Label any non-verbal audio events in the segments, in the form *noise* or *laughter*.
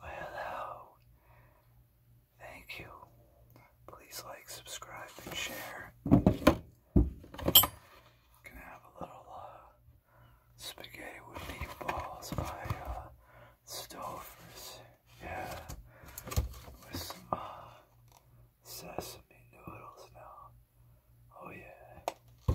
hello. Thank you. Please like, subscribe, and share. Gonna have a little uh, spaghetti with meatballs by uh, Stouffer's. Yeah, with some uh, sesame noodles now. Oh yeah.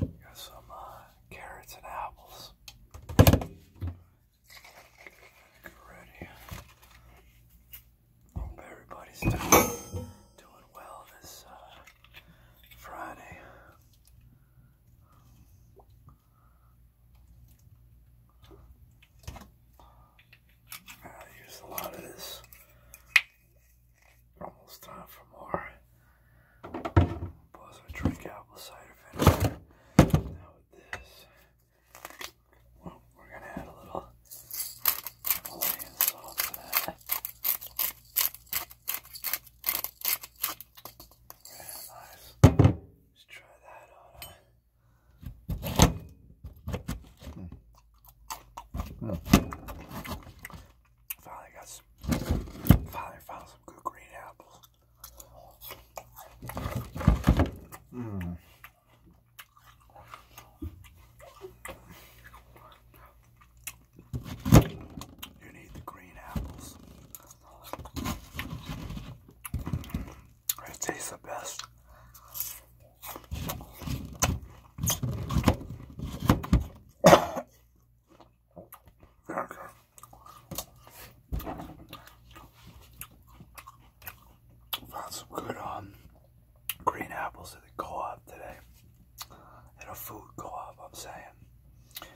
Got some uh, carrots and apples. Get ready. Hope everybody's doing, doing well this uh, Friday. I a lot of this. Almost time for more Plus I drink apple cider vinegar. Now with this, well, we're gonna add a little Himalayan salt to that. Yeah, nice. Let's try that on. Mm. Mm. Finally got some, finally found some good green apples. Hmm. You need the green apples. It tastes the best. There we go. Found some good um green apples at the co-op today. At a food co-op, I'm saying.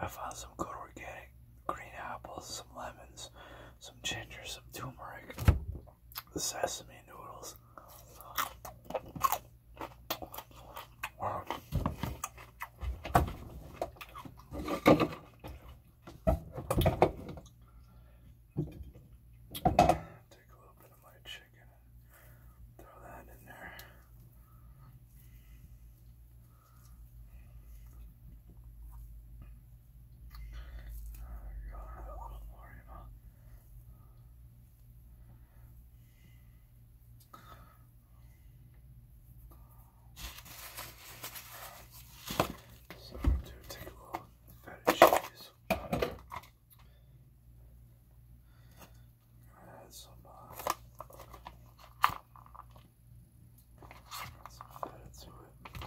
I found some good organic green apples, some lemons, some ginger, some turmeric, the sesame noodles. Wow. Take a little bit of my chicken and throw that in there. There we go, a little more, you know. So I'm going to take a little feta add some, uh, to it.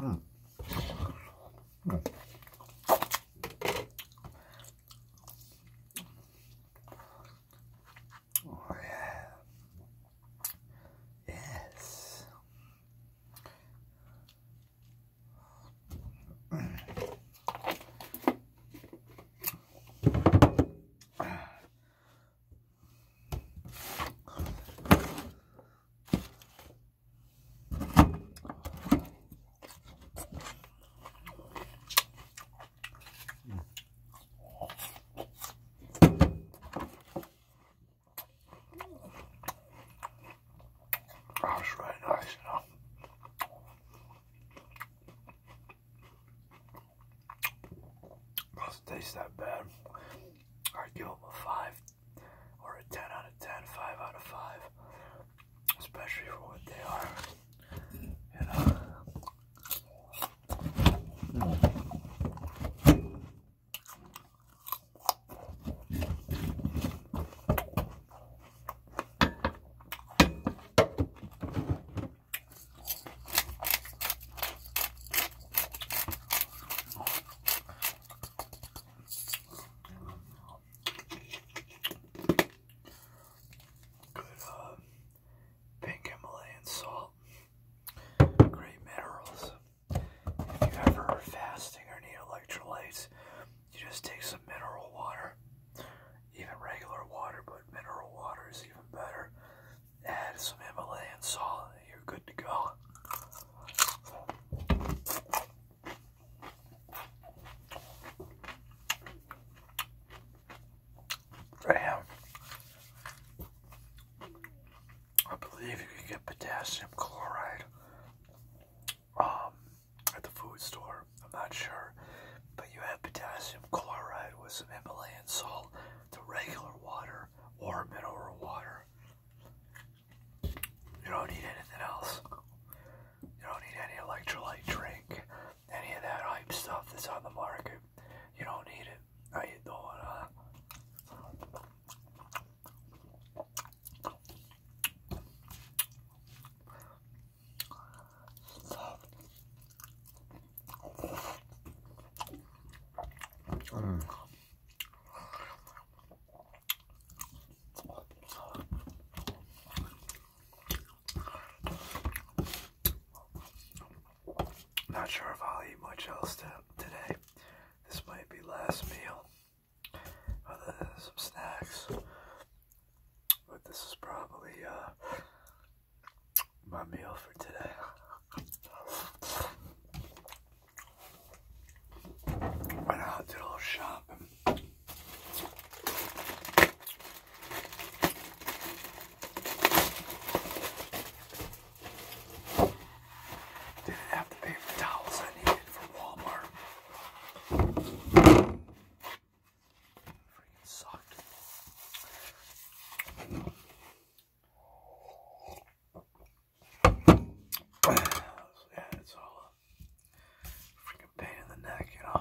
Mm. Mm. Oh, yeah. Yes. That's really nice, you Doesn't taste that bad. I'd give them a five or a 10 out of 10, 5 out of 5, especially for what they are. You uh, know? Good uh, pink Himalayan salt. Great minerals. If you ever are fasting or need electrolytes, you just take some mineral water. Even regular water, but mineral water is even better. Add some Himalayan salt you're good to go. Damn. I believe you can get potassium chloride um, at the food store. I'm not sure. But you have potassium chloride with some Himalayan salt to regular water or mineral water. You don't need anything else. You don't need any electrolyte drink, any of that hype stuff that's on the market. You don't need it. How you doing, not sure if I'll eat much else today. This might be last meal, other than some snacks. But this is probably uh, my meal for today went out to a little shop didn't have to pay towels I needed from Walmart. Freaking sucked yeah, it's all a freaking pain in the neck, you know.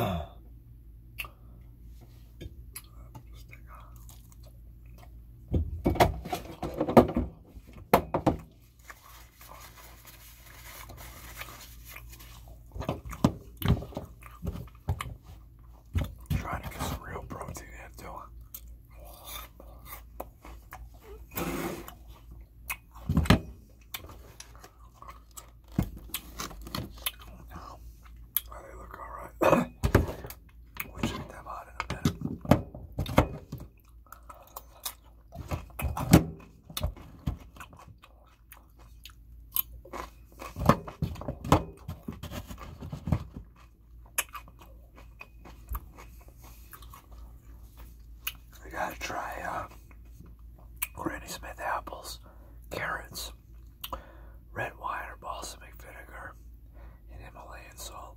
Uh, Trying to get some real protein in too. Oh, they look all right. *coughs* we'll check them out in a I gotta try uh, Granny Smith apples, carrots, red wine or balsamic vinegar, and Himalayan salt.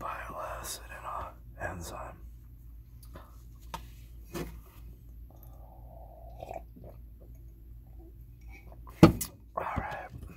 Bile acid and uh, enzyme. All right.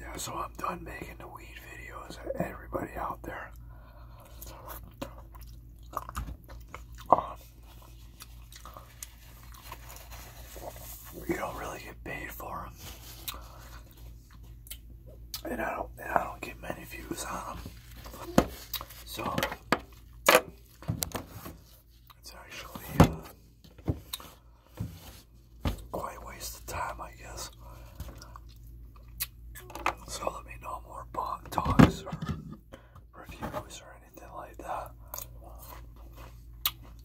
Yeah, so I'm done making the weed videos. Everybody out there. you don't really get paid for them. And I don't, I don't get many views on them. So, it's actually, uh, quite waste of time, I guess. So let me know more bong talks or reviews or anything like that.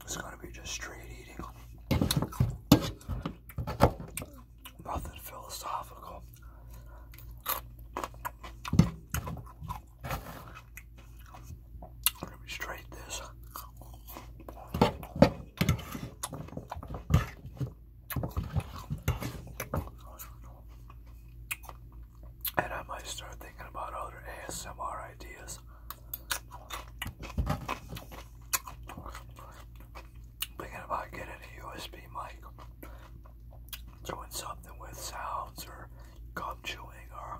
It's gonna be just straight eating. Nothing philosophical. I'm straight this. And I might start thinking about other ASMR ideas. Thinking about getting a USB mic, doing something with sounds or gum chewing or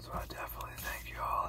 So I definitely thank you all.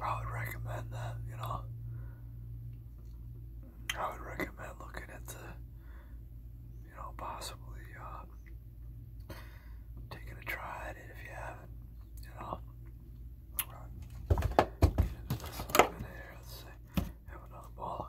I would recommend that, you know. I would recommend looking into, you know, possibly uh, taking a try at it if you haven't, you know. Let's see. Have another ball.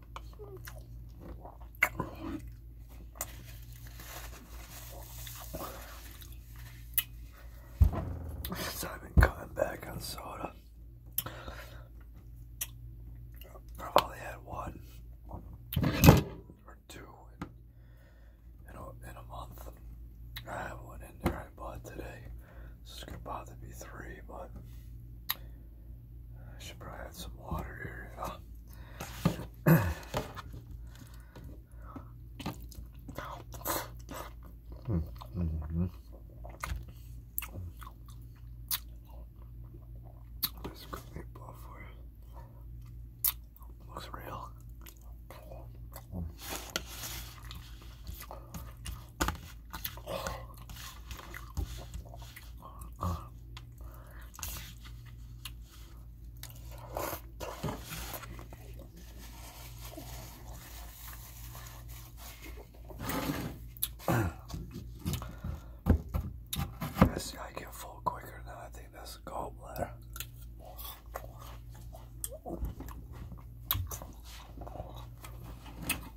Since I've been cutting back on soda, i only had one or two in, a, in a month. I have one in there I bought today. This is going to bother three, but I should probably add some water here. This could be blow Looks real. This guy get quicker now. I think that's a gallbladder.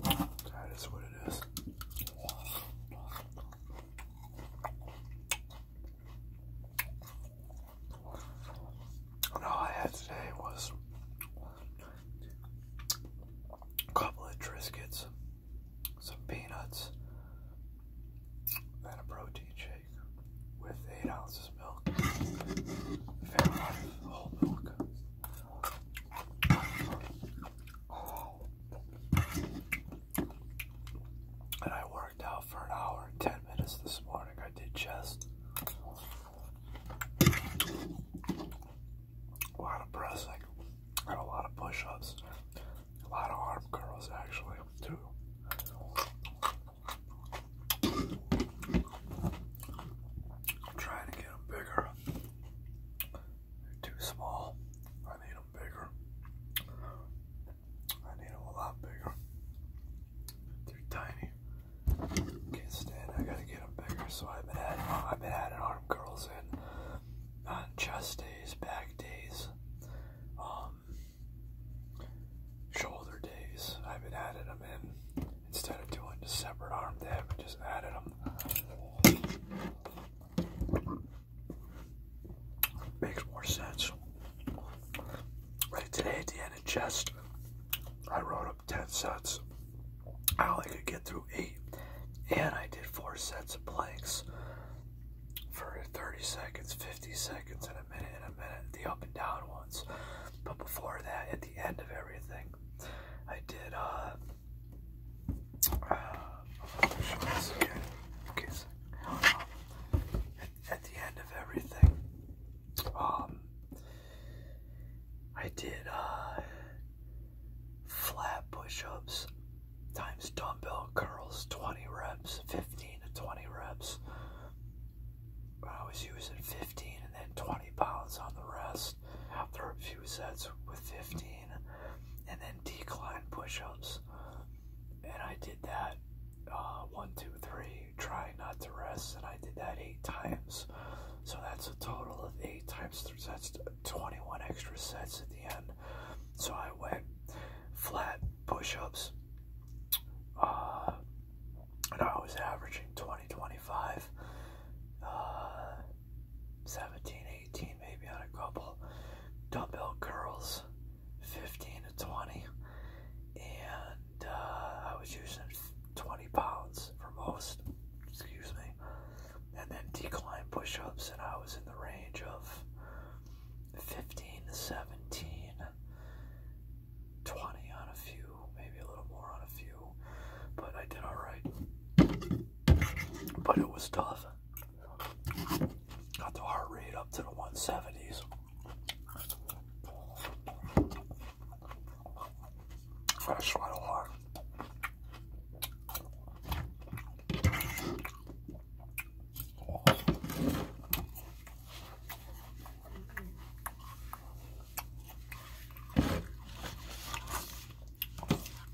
That is what it is. all I had today was a couple of Triscuits, some peanuts, and a protein shake with 8 ounces milk. whole milk. And I worked out for an hour 10 minutes this morning. I did chest. A lot of pressing a lot of push ups. A lot of arm curls, actually, too. I'm trying to get them bigger. They're too small. I need them bigger. I need them a lot bigger. They're tiny. Can't stand. I gotta get them bigger. So I've been adding, I've been adding arm curls in on chest days, back days, um, shoulder days. I've been adding them in instead of doing the separate arm day. I've been just adding them Makes more sense. Right today at the end of chest, I wrote up 10 sets. I only could get through 8, and I did 4 sets of planks for 30 seconds, 50 seconds, and a minute, and a minute, the up and down ones. But before that, at the end of everything, I did uh, uh, at, the end of everything, um, I did uh, flat push-ups times dumbbell curls, 20 reps, 15 to 20 reps. I was using 15 and then 20 pounds on the rest after a few sets with 15 and then decline push-ups and I did that uh, one two three trying not to rest and I did that eight times so that's a total of eight times that's 21 extra sets at the end so I went flat push-ups uh, and I was averaging 20 25 uh, 17, 18 maybe on a couple dumbbell curls, 15 to 20. And uh, I was using 20 pounds for most, excuse me. And then decline push ups, and I was in the range of 15 to 17, 20 on a few, maybe a little more on a few but I did all right. But it was tough. Got the heart rate up to the 170s. I tried a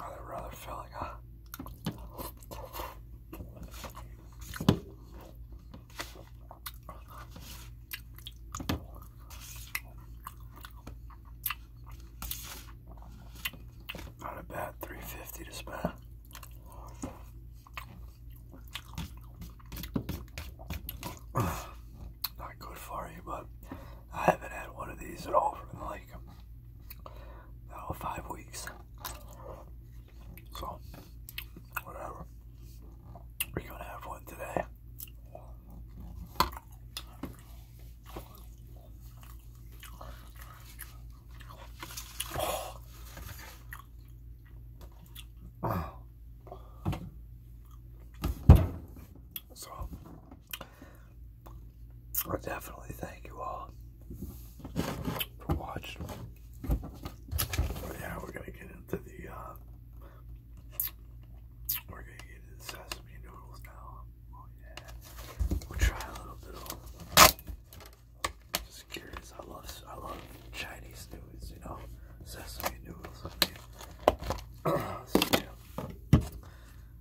Other rather filling, huh? Not a bad 350 to spend. *sighs* Not good for you, but I haven't had one of these at all for like oh, five weeks. So, whatever. We're gonna have one today. So, I definitely thank you all for watching. yeah, we're gonna get into the uh, we're gonna get into sesame noodles now. Oh, we'll try a little bit Just curious, I love I love Chinese noodles, you know, sesame noodles. *clears throat*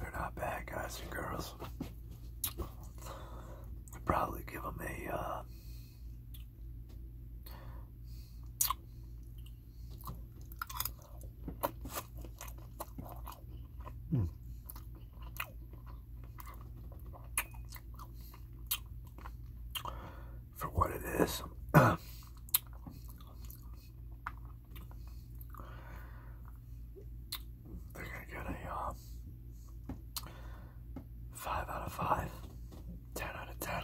They're not bad, guys and girls. I'd probably give them a, uh, hmm. For what it is, *clears throat* They're gonna get a uh, five out of five, ten out of ten,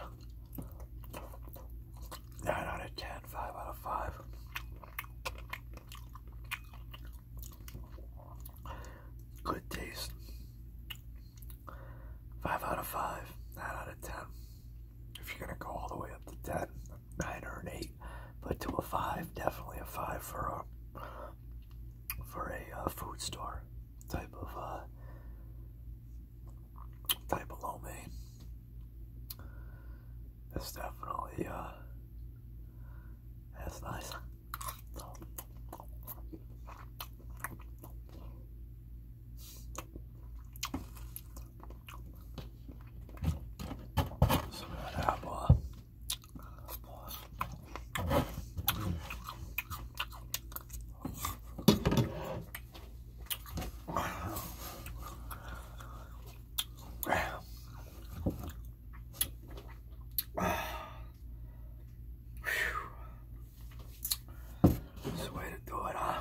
nine out of ten, five out of five. Good taste. Five out of five, nine out of ten. If you're gonna go all the way up to ten, nine or an eight but to a five, definitely a five for a for a uh, food store type of uh, type of lo That's definitely uh, that's nice. Some that apple. Uh, that's the way to do it, huh?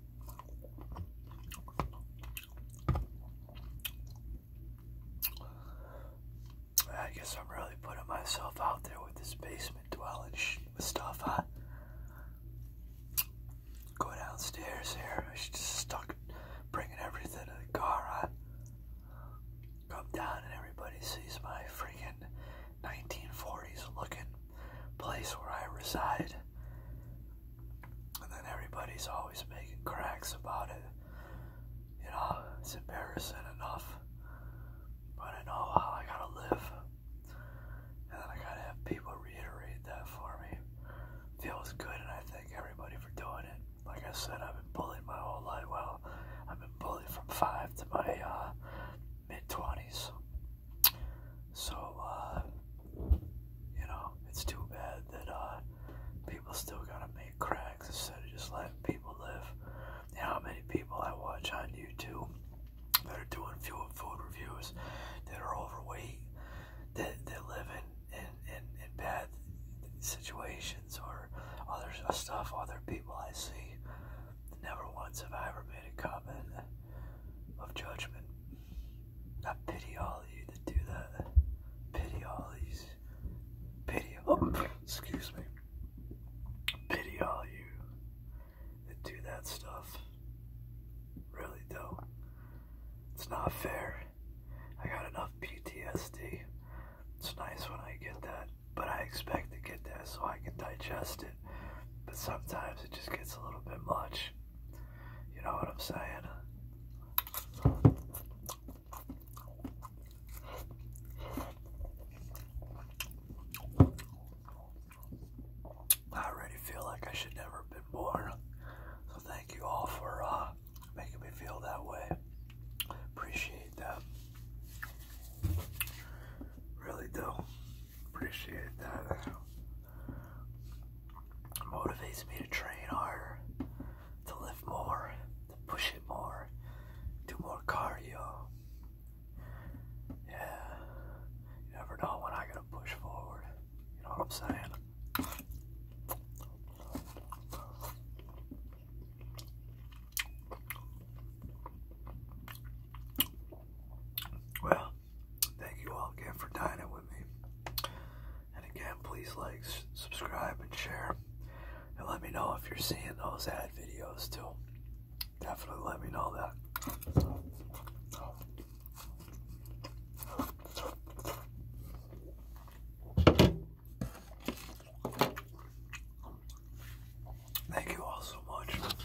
I guess I'm really putting myself out there with this basement dwelling With stuff, I Go downstairs here. I should just stuck bringing everything to the car, I Come down and everybody sees my freaking 1940s looking place where I reside. And then everybody's always making cracks about it. You know, it's embarrassing enough. But I know how I gotta live. And then I gotta have people reiterate that for me. Feels good, and I thank everybody for doing it. Like I said, I've been bullied my whole life. Well, I've been bullied from five to my uh, mid 20s. So, uh, you know, it's too bad that uh, people still gotta make cracks instead of just letting people live. You know how many people I watch on YouTube that are doing fuel food reviews that are overweight, that, that live in, in, in, in bad situations or other uh, stuff, other people I see. Never once have I ever made a comment of judgment. I pity all of you that do that. Pity all these. Pity. *coughs* excuse me. Pity all you that do that stuff. Really don't. It's not fair. I got enough PTSD. It's nice when I get that, but I expect to get that so I can digest it. But sometimes it just gets a little bit much. You know what I'm saying? I already feel like I should never been born. So thank you all for uh, making me feel that way. Appreciate that. Really do. Appreciate that motivates me to train harder, to lift more, to push it more, do more cardio. Yeah, you never know when I gotta push forward. You know what I'm saying? Well, Thank you all again for dining with me. And again, please like, subscribe, and share. And let me know if you're seeing those ad videos too. Definitely let me know that. Thank you all so much.